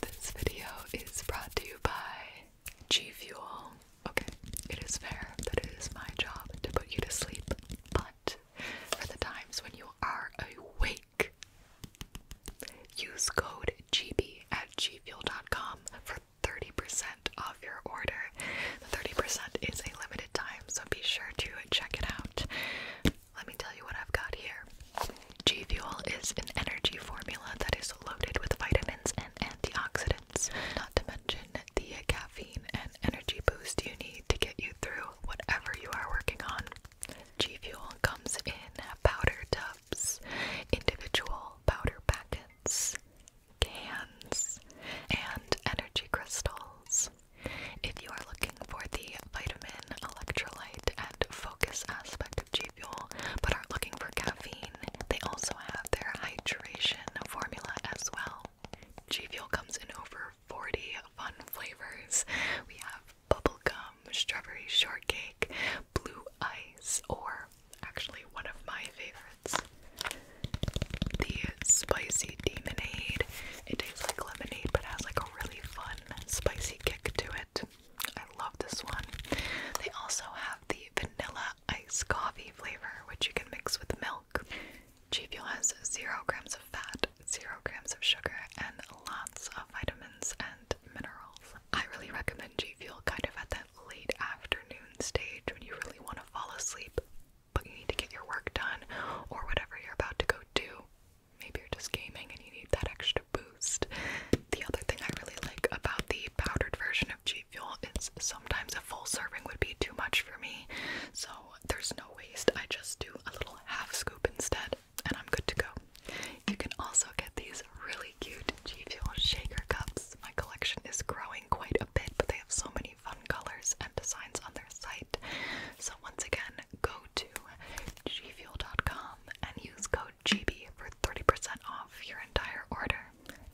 This video is brought to you by G Fuel. Okay, it is fair that it is my job to put you to sleep, but for the times when you are awake, use code GB at G Fuel. com for 30% off your order. The 30% is a limited time, so be sure to check it out. Let me tell you what I've got here. G Fuel is an energy formula that is loaded with vitamins and antioxidants, not to mention the caffeine and energy boost you need to get you through whatever you are working on. G Fuel comes in powder tubs, individual powder packets, cans, and energy crystals. If you are looking for the vitamin, electrolyte, and focus aspect of G but are looking for caffeine, they also have their hydration formula as well. G Fuel comes in over 40 fun flavors. We have bubble gum, strawberry shortcake, blue ice, or actually one of my favorites, the spicy demonade. It tastes like lemonade but has like a really fun spicy kick to it. I love this one. They also have the vanilla ice coffee flavor, which you can mix with milk. G Fuel has zero grams of fat, zero grams of sugar, and lots of vitamins and minerals. I really recommend G Fuel kind of at that late afternoon stage when you really want to fall asleep, but you need to get your work done or whatever you're about to go do maybe you're just gaming and you need that extra boost. The other thing I really like about the powdered version of G Fuel is sometimes a full serving would be too much for me, so there's no waste. I just do a little half scoop instead, and I'm good to go. You can also get these really cute G Fuel shaker cups. My collection is growing quite a bit, but they have so many fun colors and designs on their site. So once again, go to gfuel.com and use code GB for 30% off your entire order.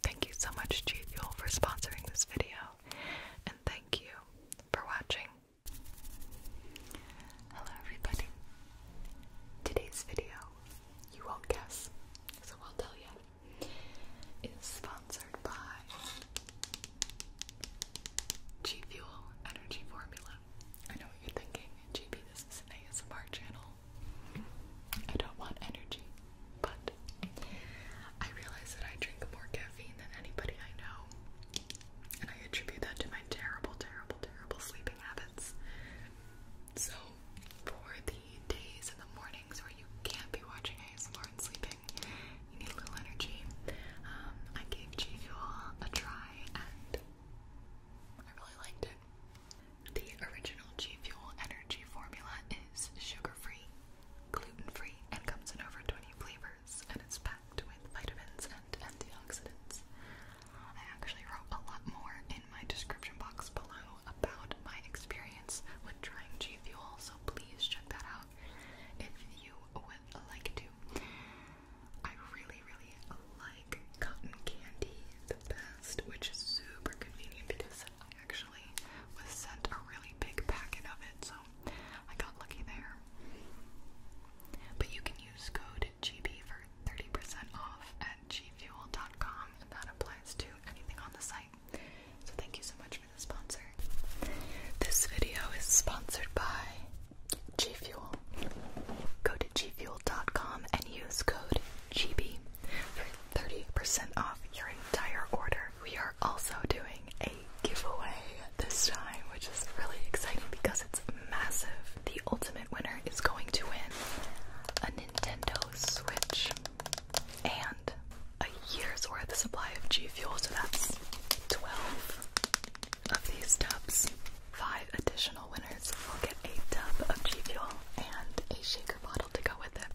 Thank you so much, G Fuel, for sponsoring this video, and thank you for watching. Hello, everybody. Today's video, you will guess, so I'll tell you, is sponsored by G Fuel Energy Formula. I know you're thinking, GB, this is an ASMR channel. I don't want energy, but I realize that I drink more caffeine than anybody I know, and I attribute that to my terrible, terrible, terrible sleeping habits. So, for the days and the mornings where you can't be watching ASMR and sleeping, you need a little energy. Um, I gave G Fuel a try, and I really liked it. The original G Fuel energy formula is sugar-free, gluten-free, and comes in over 20 flavors, and it's packed with vitamins and antioxidants. I actually wrote a lot more in my description box below about my experience with trying G Fuel, so please check that out if you would like to. I really, really like cotton candy the best, which is super convenient because I actually was sent a really big packet of it, so I got lucky there. But you can use code GB for 30% off at gfuel.com, and that applies to anything on the site. So thank you so much for the sponsor. This video is sponsored by G Fuel. Go to gfuel.com and use code GB for 30% off your entire order. We are also doing a giveaway this time, which is really exciting because it's massive. The ultimate winner is going to win a Nintendo Switch and a year's worth of supply of G Fuel, so that's 12 of these tubs. Five additional winners will get a tub of G Fuel and a shaker bottle to go with it.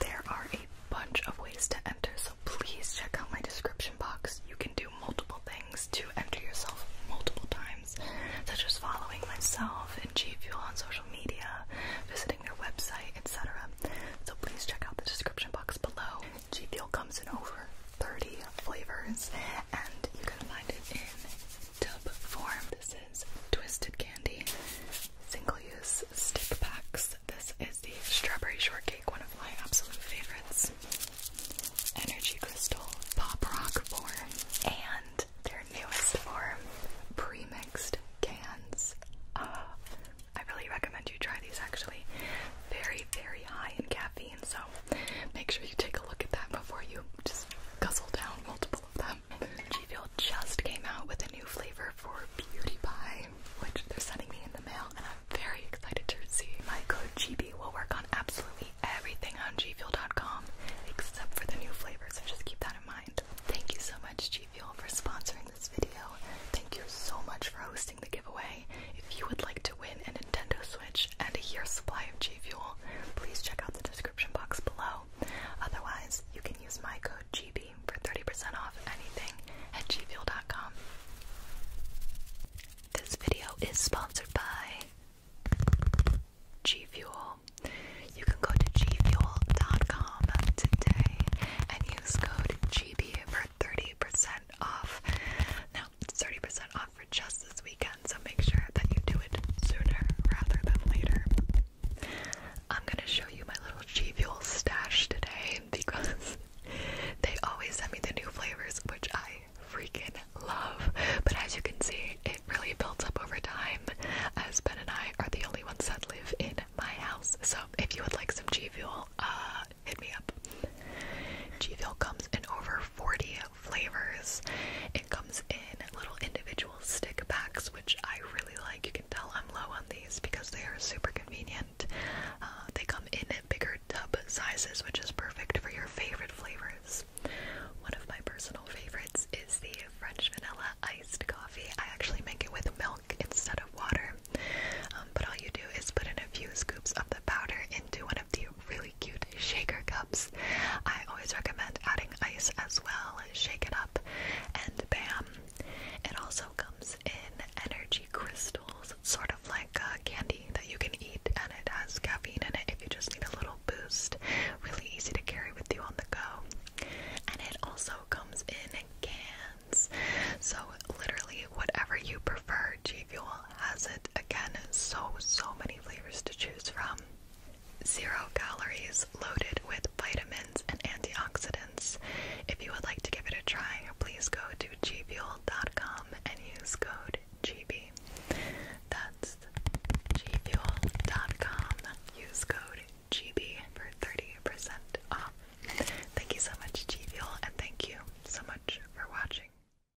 There are a bunch of ways to enter, so please check out my description box. You can do multiple things to enter yourself multiple times, such as following myself and G Fuel on social media, visiting their website, etc. So please check out the description box below. G Fuel comes in over 30 flavors, and you can find it in tub form. This is Twisted Candy single use stick packs. This is the strawberry shortcake, one of my absolute favorites. Energy crystal pop rock form, and their newest form, premixed cans. Ah, I really recommend you try these actually. Very, very high in caffeine, so make sure you take a look at that before you just guzzle down multiple of them. G Fuel just came out with a new flavor for Beauty Pie, which they're sending me in the mail, and I'm very excited to see. My code GB will work on absolutely everything on G Fuel.com, except for the new flavor, so just keep that in mind. Thank you so much, G Fuel, for sponsoring this video. Thank you so much for hosting the giveaway. If you would like to win a Nintendo Switch and a year's supply of G Fuel, please check out the description box below. Otherwise, you can use my code GB for 30% off anything at G gfuel.com. This video is sponsored by G Fuel. You can go to G gfuel.com today and use code GB for 30% off. Now, 30% off for just this weekend, so make sure that you do it sooner rather than later. I'm gonna show you my little G Fuel stash today because they always send me the new flavors, which I freaking love. But as you can see, it really builds up over time, as Ben and I are the only ones that live in my house. So if you would like some G Fuel, uh, hit me up. G Fuel comes in over 40 flavors. It comes in little individual stick packs, which I really like. You can tell I'm low on these because they are super convenient. Uh, they come in bigger tub sizes, which is perfect for your favorite flavors. One of my personal favorites is the French vanilla iced coffee. I actually make it with milk instead of water. Um, but all you do is put in a few scoops of the powder into an the really cute shaker cups. I always recommend adding ice as well. Shake it up, and bam! It also comes in energy crystals, sort of like uh, candy that you can eat, and it has caffeine in it if you just need a little boost. Really easy to carry with you on the go. And it also comes in cans. So, literally, whatever you prefer, store, G Fuel has it again. So, so many flavors to choose from. Zero calories, loaded with vitamins and antioxidants. If you would like to give it a try, please go to gfuel.com and use code GB. That's gfuel.com. Use code GB for 30% off. Thank you so much, G Fuel, and thank you so much for watching.